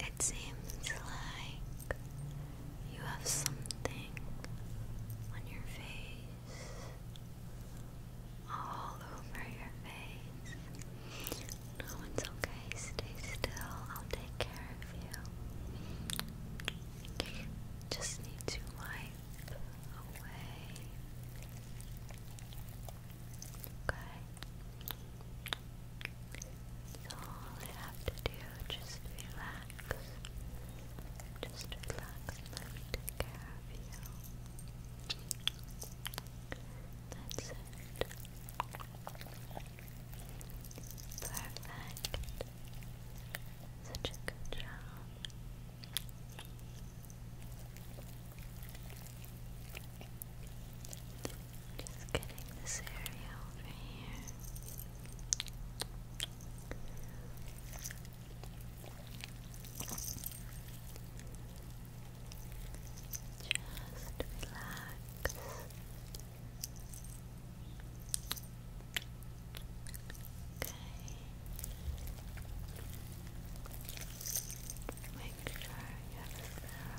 It seems like you have something on your face, all over your face. it's okay. Stay still. I'll take care of you. Just need to wipe away. Okay. all I have to do just relax. Just relax let me take care of you. That's it. Perfect. Such a good job. Just getting this area over here. Just relax. Okay. Make sure you have a thorough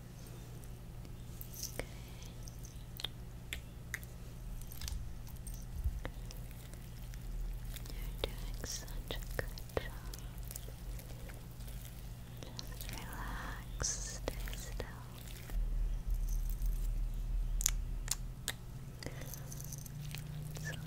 You're doing such a good job. Just relax, stay still. Sorry.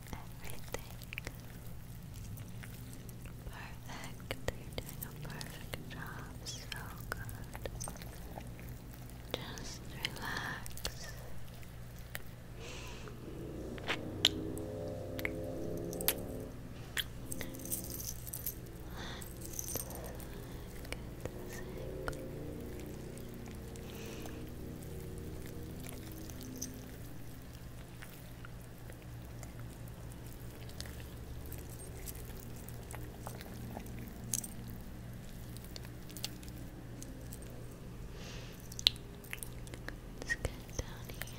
everything. Perfect. You're doing a perfect job. So good. Just relax. Let's Let's get down here. Okay.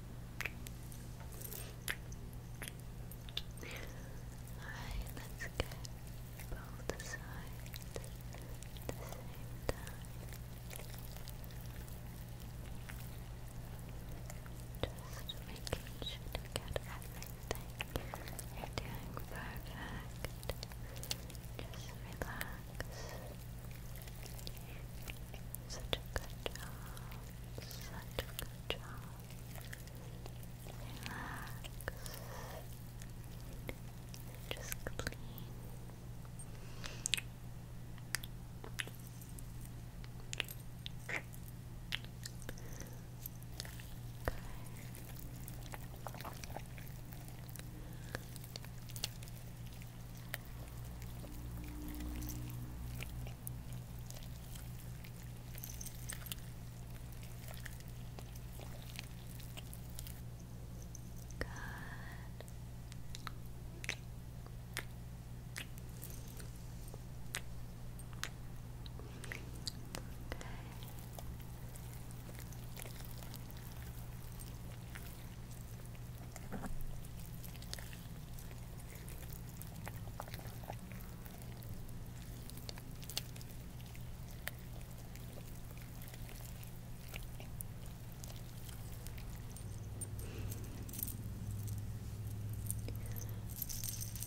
Alright, let's get both sides the same Just making sure to get everything. You're doing perfect. Just relax. Such a good job. Such a good job. Relax. Just clean. Good. Okay. Good.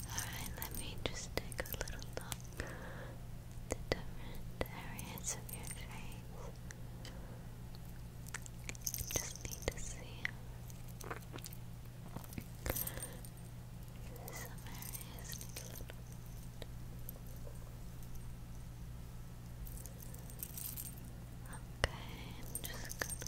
Alright, let me just take a little look at the different areas of your face. Just need to see some areas need a little Okay, I'm just gonna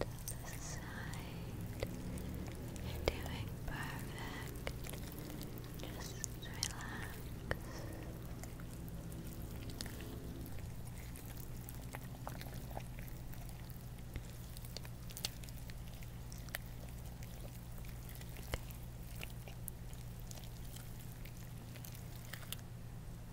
And the side. You're doing perfect. Just relax.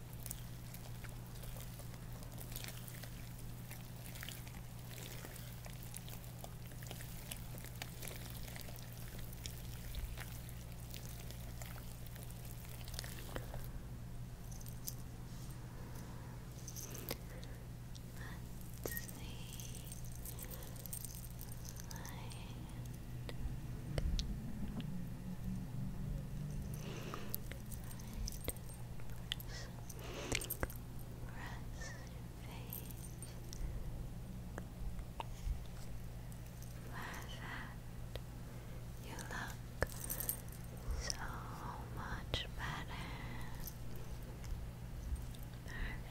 Let's see. Like that you look so much better.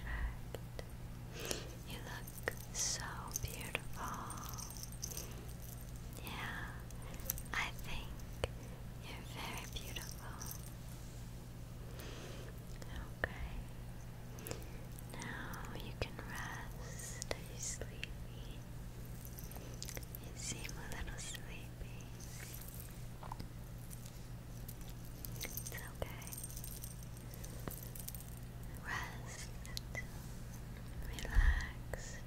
Perfect. You look so beautiful. Yeah. I think you're very beautiful. Okay. Now you can rest. Are sleepy? You seem a little sleepy. It's okay. Rest relax.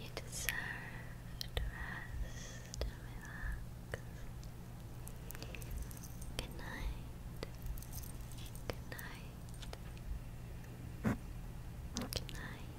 You deserve to rest relax. Good night. Good night. Good night.